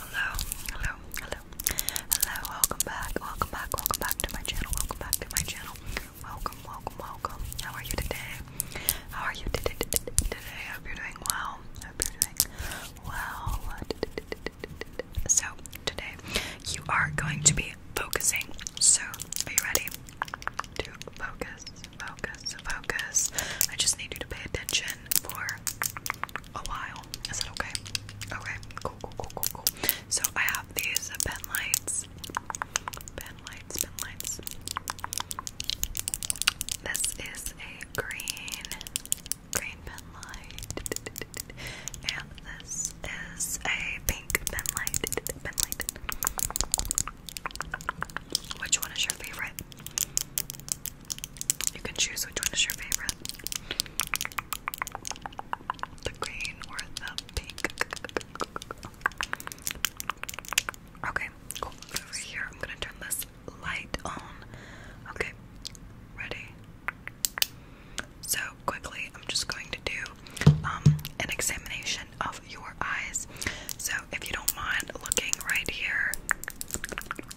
Hello, hello, hello, hello, welcome back, welcome back, welcome back to my channel, welcome back to my channel, welcome, welcome, welcome, how are you today, how are you today, today, I hope you're doing well, I hope you're doing well, so today you are going to be focusing, so are you ready to focus, focus, focus, I just need you to pay attention for a while. Is that okay? Okay, cool, cool, cool, cool, cool. So I have these pen lights. Pen lights, pen lights. This is a green, green pen light. And this is a pink pen light. Pen light. Which one is your favorite? You can choose which one is your favorite the green or the pink. Okay, cool. here, I'm gonna turn this light on. Okay, ready? So, quickly, I'm just going to do um, an examination of your eyes. So, if you don't mind looking right here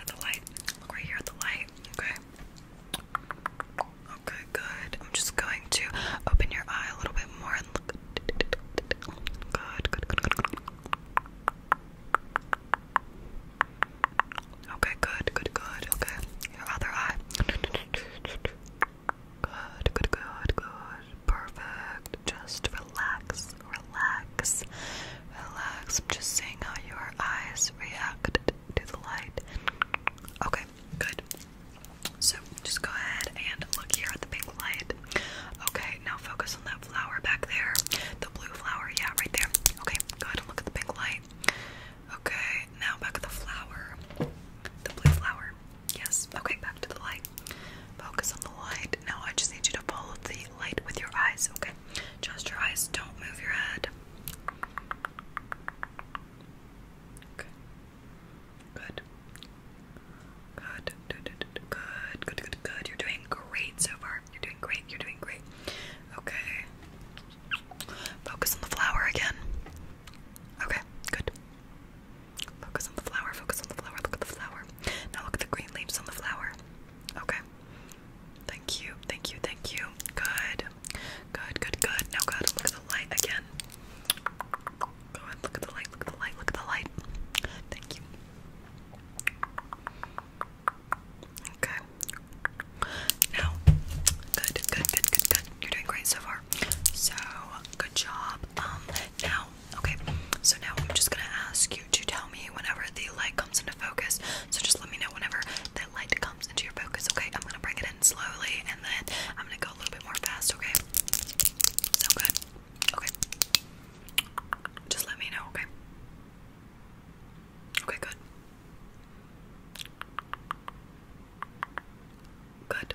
at the light, look right here at the light, okay? Okay, good. I'm just going to open your eye a little bit more and look. Good, good, good, good. Okay, good, good, good. Okay, your other eye. Good, good, good, good. Perfect just relax, relax, relax. I'm just seeing how your eyes react to the light. Okay, good. So just go ahead and look here at the pink light. Okay, now focus on that flower back there. The blue flower, yeah, right there. Okay, go ahead and look at the pink light. Okay, now back at the flower. The blue flower. Yes. Okay, to the light. Focus on the light. Now I just need you to follow the light with your eyes, okay? Just your eyes. Don't move your head. Okay. Good. Good. Good. Good. Good. Good. Good. You're doing great so far. You're doing great. You're doing great. Okay. Focus on the flower again. Okay. Good. Focus on the flower, focus on the flower, look at the flower. Now look at the green leaves on the flower. Okay. Thank you, thank you, thank you. Good. Good, good, good. Now go look at the light again. Go ahead, look at the light, look at the light, look at the light. Thank you. Okay. Now, good, good, good, good, good. You're doing great so far. So, good job. Um, now Okay, so now I'm just gonna ask you to tell me whenever the light comes into focus. So just let me know whenever that light comes into your focus. Okay, I'm gonna bring it in slowly and then I'm gonna go a little bit more fast. Okay, so good. Okay, just let me know. Okay, okay, good. Good.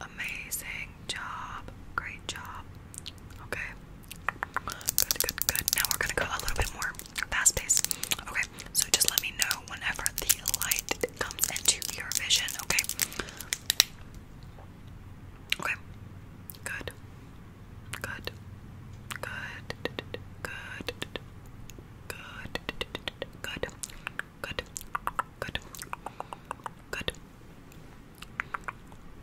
Amazing job. Great job. Okay. Good, good, good. Now we're going to go a little bit more fast paced. Okay. So just let me know whenever the light comes into your vision. Okay. Okay. Good. Good. Good. Good. Good. Good. Good. Good. Good.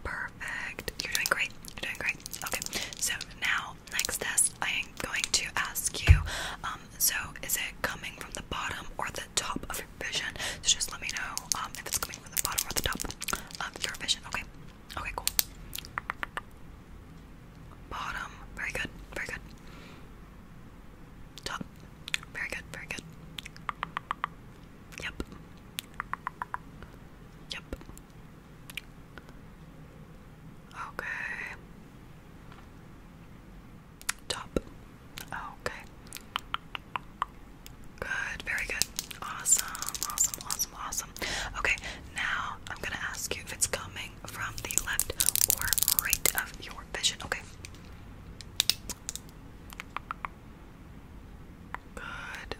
Perfect. You're doing great. You're doing great. Okay. So now, next test, I am going to ask you. Um. So is it coming from the bottom or the top of your vision? So just let me know. Um. If it's coming from the bottom or the top of your vision. Okay. Okay. Cool. Bottom. Very good. Very good. So, very good, very good. Yep. Yep. Okay. Top. Okay. Good, very good. Awesome, awesome, awesome, awesome. Okay, now I'm gonna ask you if it's coming from the left or right of your vision. Okay. Good.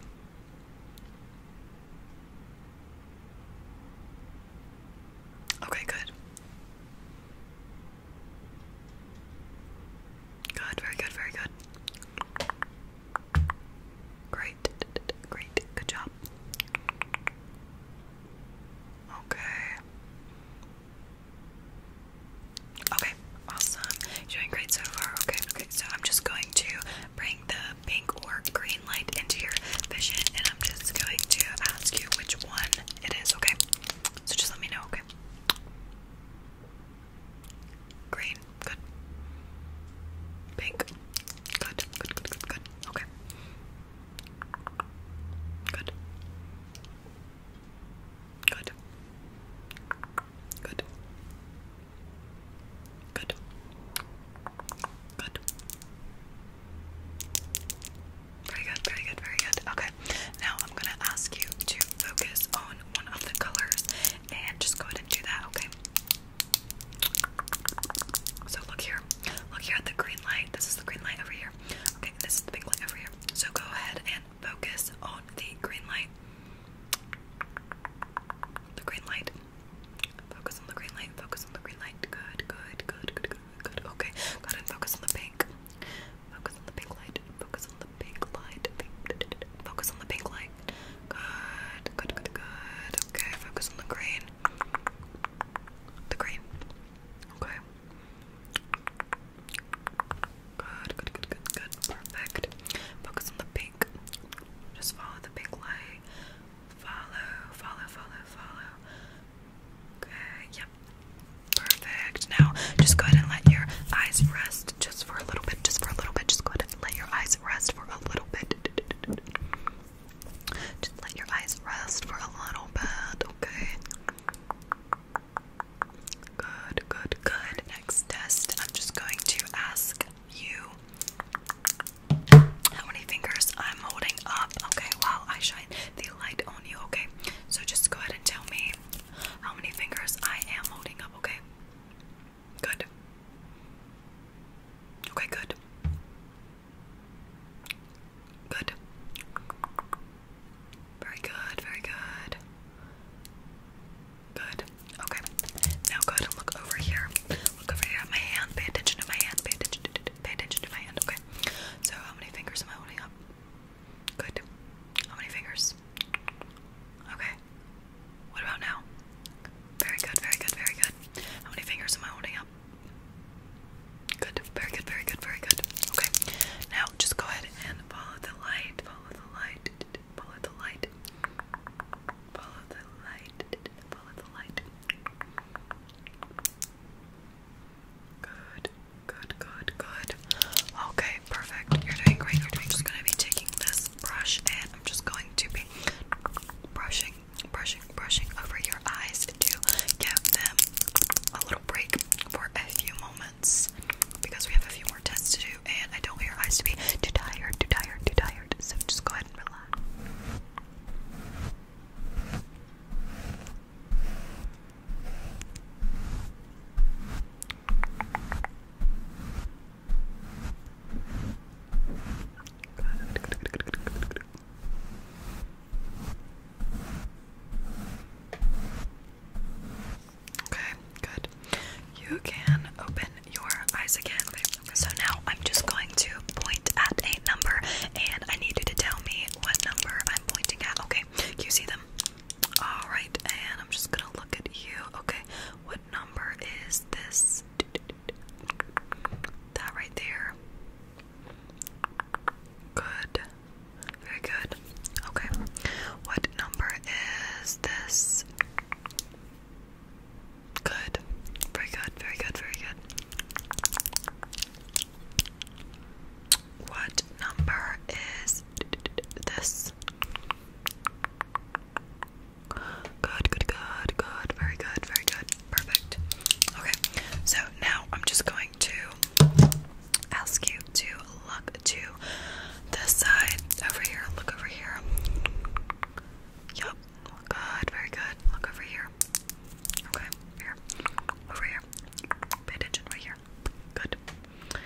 Okay, good. Good, very good, very good. Great, great, good job. Okay. Okay, awesome. doing great so far. Okay, okay. So I'm just going to bring the pink or green light into your vision and I'm just going to ask you which one it is, okay? So just let me know, okay? Green, good. Pink, good, good, good, good. Okay. Good. Good. Good. Good. Good. Very good, very good, very good. Okay, now I'm gonna ask you to focus on one of the colors and just go ahead and do that, okay? So look here. Look here at the green light. This is the green light over here. Okay, this is the pink light over here. So go ahead and focus on the green light. The green light. Focus on the green light. Focus on the green light. Good, good, good, good, good, good. Okay, go ahead and focus on the pink. Focus on the pink light. Focus on the pink light. Focus on the pink light. Good, good, good, good. Okay, focus on the green. The green. Okay. Good, good, good, good, good. Perfect. Focus on the pink. Just follow the pink light. Follow, follow, follow, follow. Okay, yep. Perfect. Now, just go ahead and let your eyes rest just for a little bit. Just for a little bit. Just go ahead and let your eyes rest for a little bit. Just let your eyes rest for a little bit, okay? Good, good, good. Next test, I'm just going to ask you how many fingers I'm holding up, okay? Wow, I shine the light on you, okay? So just go ahead and tell me how many fingers I am holding up, okay? Good. Okay, good. Good. Very good, very good. Good. Okay. Now go look over here. Look over here my hand. Pay attention to my hand. Pay attention to, pay attention to my hand. Okay. So how many fingers am I holding up? Good. How many fingers? Okay. What about now? Very good, very good, very good. How many fingers am I holding up? Good, very good, very good, very good. Okay, now just go ahead and follow the light, follow the light, follow the light, follow the light, follow the light. Good, good, good, good. Okay, perfect. You're doing great. You're doing. I'm just gonna be taking this brush and I'm just going to be brushing, brushing, brushing over your eyes to give them a little break for a few moments because we have a few more tests to do and I don't want your eyes to be too tired, too tired, too tired. So just go ahead and relax. Okay, good. You can open your eyes again. So now I'm just going to point at a number and I need you to tell me what number I'm pointing at. Okay, you see them? Alright, and I'm just gonna look at you. Okay, what what number is this? That right there. Good. Very good. Okay. What number is this? Good. Very good. Very good. Very good. What number is this? Good, good, good, good. Very good, very good. Perfect. Okay, so now I'm just going to ask you to look to this side over here. Look over here. Yup. Good, very good. Look over here. Okay, here. Over here. Pay attention right here. Good.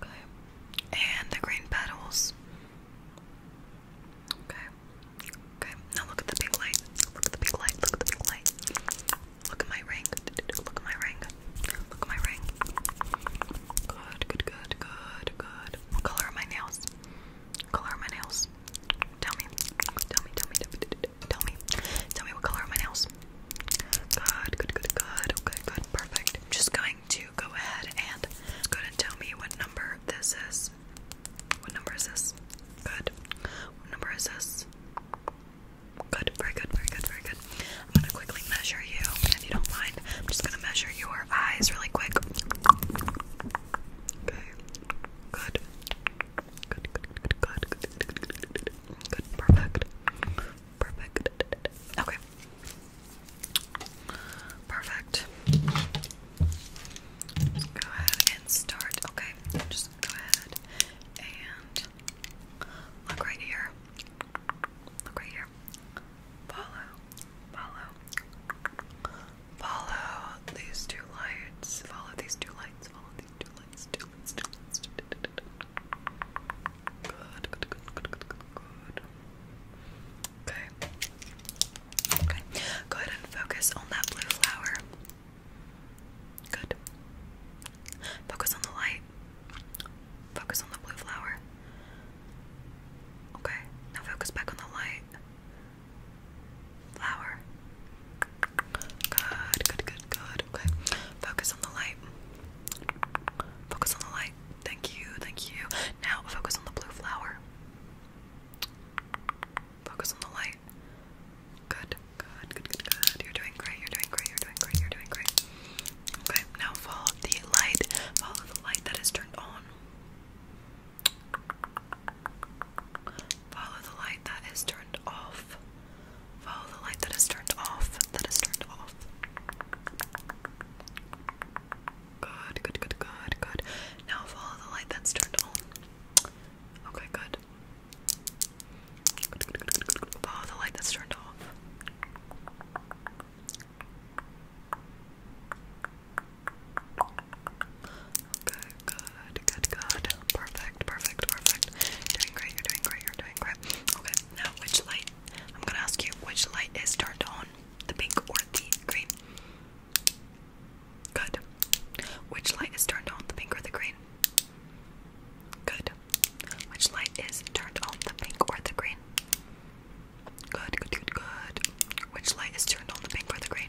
Okay. And the green petals. Okay. Okay. Now look at the big light. Look at the big light. Look at the big light. Look at my ring. Look at my ring. Look at my ring. Good, good, good, good, good. What color are my nails? What color are my nails? Tell me. Tell me, tell me, tell me, tell me. Tell me what color are my nails? Good, good, good, good. Okay, good, perfect. I'm just going to go ahead and go and tell me what number this is. What number is this? Good. What number is this? Good, very good, very good, very good. I'm gonna quickly measure you, if you don't mind. I'm just gonna measure your eyes really quick. Okay. Good. Good, good, good, good, good, good, good, good, Perfect. Okay. Perfect. go ahead and start. Okay, just go ahead and look right here. Look right here. Follow, follow, follow these two lights. Follow these two lights. Follow think two lines, two lines, two lines. Good, good, good, good, good, good, good. Okay. Okay. Go ahead and focus on that blue flower. Good. Focus on the light. Focus on the blue flower. Okay. Now focus back on the light. Flower. Good, good, good, good. Okay. Focus on the light. Focus on the light. Thank you, thank you. Now focus on the blue flower. Focus on the light. Good, good, good, good, good. You're doing great, you're doing great, you're doing great, you're doing great. Okay, now follow the light. Follow the light that is turned on. Follow the light that is turned off. Follow the light that is turned off. That is turned off. Good, good, good, good, good. Now follow the light that's turned on. Okay, good. Good, good, good, good, good. Follow the light that's turned off. Okay, good, good, good. Perfect, perfect, perfect. Doing great, you're doing great, you're doing great. Okay, now which light? I'm gonna ask you which light is turned on, the pink or the green? Good. Which light is turned on, the pink or the green? Good. Which light is turned on, the pink or the green? Good, good, good, good. Which light is turned on, the pink or the green?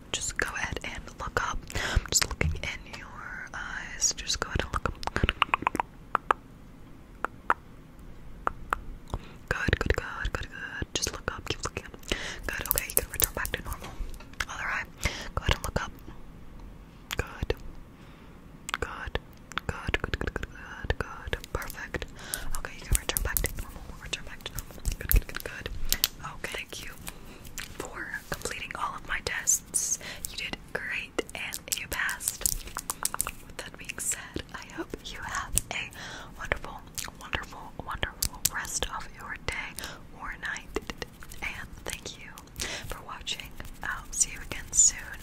just go ahead and look up. I'm just looking in your eyes. Just go ahead and look up. Good, good, good, good, good. Just look up. Keep looking up. Good. Okay, you can return back to normal. Other eye. Go ahead and look up. Good. Good. Good. Good. Good. Good. Good. Good. Perfect. Okay, you can return back to normal. Return back to normal. Good. Good. Good. Good. Okay. Thank you for completing all of my tests. You did great and you passed. With that being said, I hope you have a wonderful, wonderful, wonderful rest of your day or night. And thank you for watching. I'll see you again soon.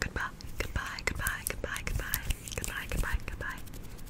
Goodbye, goodbye, goodbye, goodbye, goodbye, goodbye, goodbye, goodbye.